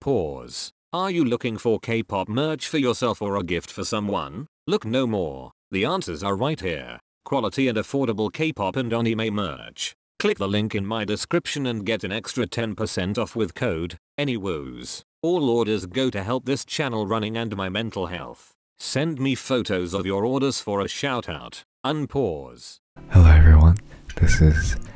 Pause. Are you looking for K-pop merch for yourself or a gift for someone? Look no more. The answers are right here. Quality and affordable K-pop and anime merch. Click the link in my description and get an extra 10% off with code ANYWOOS. All orders go to help this channel running and my mental health. Send me photos of your orders for a shout out. Unpause. Hello everyone, this is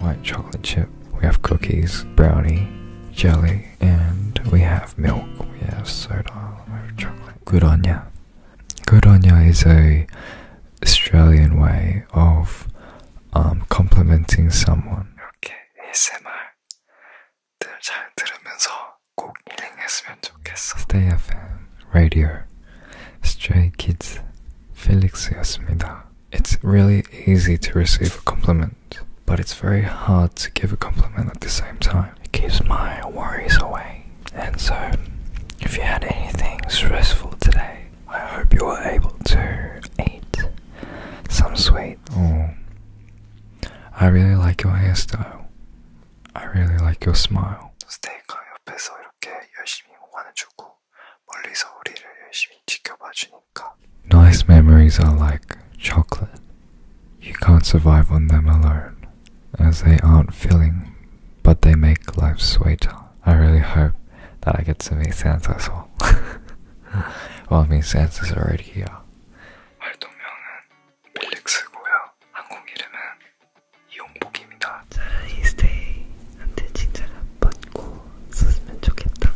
White chocolate chip. We have cookies, brownie, jelly, and we have milk. We have soda. Good on ya. Good on ya is a Australian way of um, complimenting someone. Okay, ASMR 들잘 들으면서 꼭 힐링했으면 좋겠어요. Stay FM radio Stray Kids Felix이었습니다. It's really easy to receive a compliment, but it's very hard to give a compliment at the same time. It keeps my worries away. And so, if you had anything stressful today, I hope you were able to eat some sweet. Oh, I really like your hairstyle. I really like your smile. 스테이크가 옆에서 이렇게 열심히 응원해주고 Nice memories are like chocolate. You can't survive on them alone, as they aren't filling, but they make life sweeter. I really hope that I get to meet Santa as well. I mean, Santa's already here. 활동명은 밀릭스고요. 한국 이름은 이용복입니다. 차라리 스테이한테 칭찬을 받고 썼으면 좋겠다.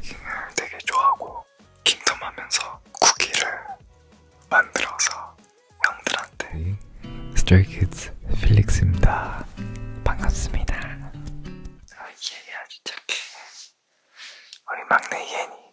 킹을 되게 좋아하고 킹덤 하면서 쿠키를 만들어서 형들한테 스트레이키즈 네, 필릭스입니다. 반갑습니다. 아, 얘야 진짜 우리 막내 예니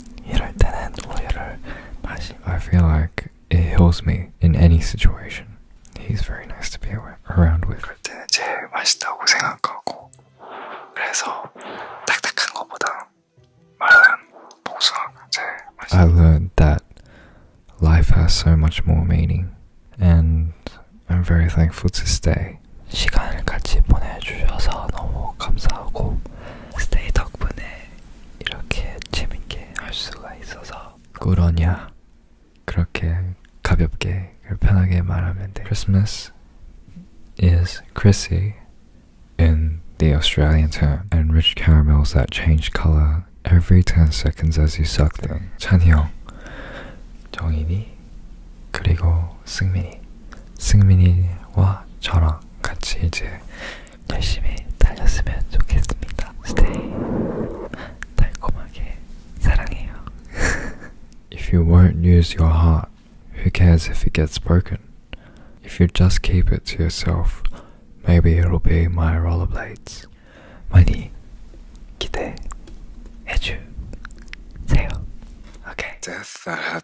I feel like it heals me in any situation. He's very nice to be around with. 그럴 때는 제일 맛있다고 생각하고 I learned that life has so much more meaning, and I'm very thankful to stay. 시간을 같이 보내주셔서 너무 감사하고 스테이 덕분에 이렇게 재밌게 할 수가 있어서 그러냐 그렇게 가볍게 편하게 말하면 돼. Christmas is Chrissy in the Australian term and rich caramels that change color every 10 seconds as you suck them. 찬이 형, 정인이 그리고 승민이 if you won't use your heart, who cares if it gets broken? If you just keep it to yourself, maybe it'll be my rollerblades. 많이 기대해 주세요. Okay. Death that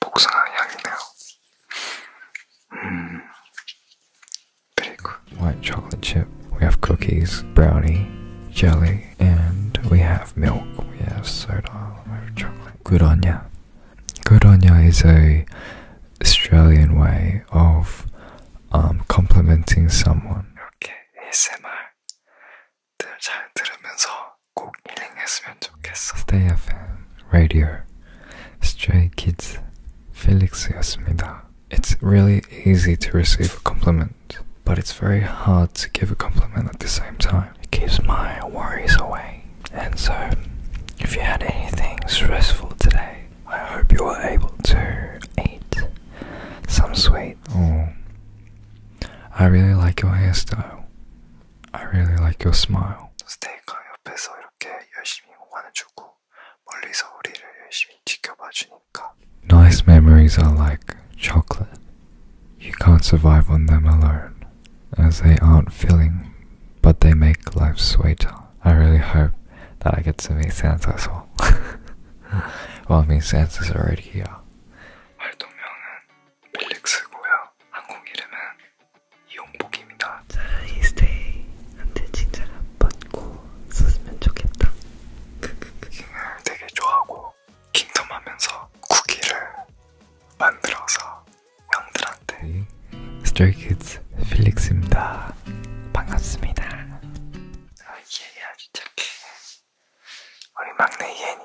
복숭아 향이네요. Mm. Very good. White chocolate chip. We have cookies, brownie, jelly, and we have milk. We have soda. We chocolate. Good on ya. Good on ya is a Australian way of um, complimenting someone. Okay, ASMR. Stay FM Radio Stray Kids Felix였습니다. It's really easy to receive a compliment, but it's very hard to give a compliment at the same time. It keeps my worries away. And so, if you had anything stressful today, I hope you were able to eat some sweet. Oh, I really like your hairstyle. I really like your smile. Nice memories are like chocolate. You can't survive on them alone, as they aren't filling, but they make life sweeter. I really hope that I get to meet Santa as well. I mean, Santa's already here. 활동명은 릴렉스고요. 한국 이름은 이용복입니다. 자, 이스테이 한테 진짜 받고 썼으면 좋겠다. 킹을 되게 좋아하고 킹덤 하면서 쿠키를 만들어서 형들한테 스트레이키즈 네. 필릭스입니다. 반갑습니다. 아, 얘야 진짜 우리 막내 예니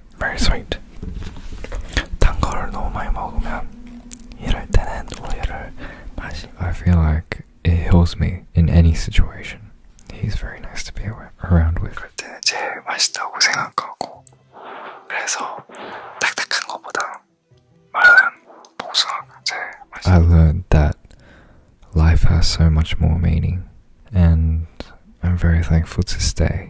very sweet. 단 거를 너무 많이 먹으면 이럴 때는 우유를 마시. I feel like it heals me in any situation. He's very nice to be around with. 그럴 때 제일 맛있다고 생각하고 그래서 딱딱한 것보다 마른 복숭아가 제일 맛있어. I learned that life has so much more meaning, and I'm very thankful to stay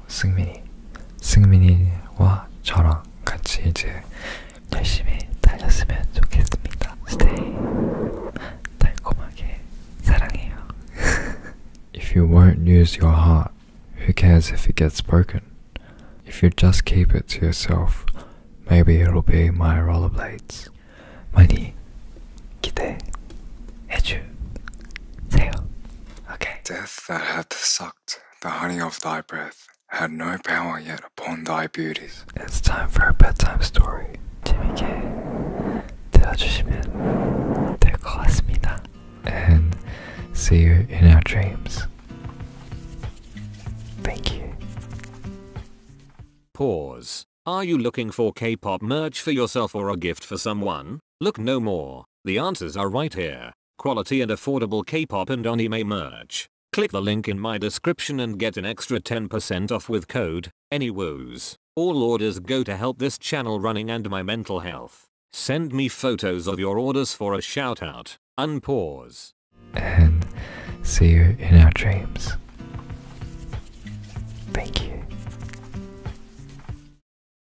if you won't use your heart, who cares if it gets broken? If you just keep it to yourself, maybe it'll be my rollerblades. 많이 기대해 주세요. Okay that hath sucked the honey of thy breath had no power yet upon thy beauties. It's time for a bedtime story. 재밌게 들어주시면 될것 같습니다. And see you in our dreams. Thank you. Pause. Are you looking for K-pop merch for yourself or a gift for someone? Look no more. The answers are right here. Quality and affordable K-pop and anime merch. Click the link in my description and get an extra 10% off with code Any woes? All orders go to help this channel running and my mental health. Send me photos of your orders for a shout out. Unpause. And see you in our dreams. Thank you.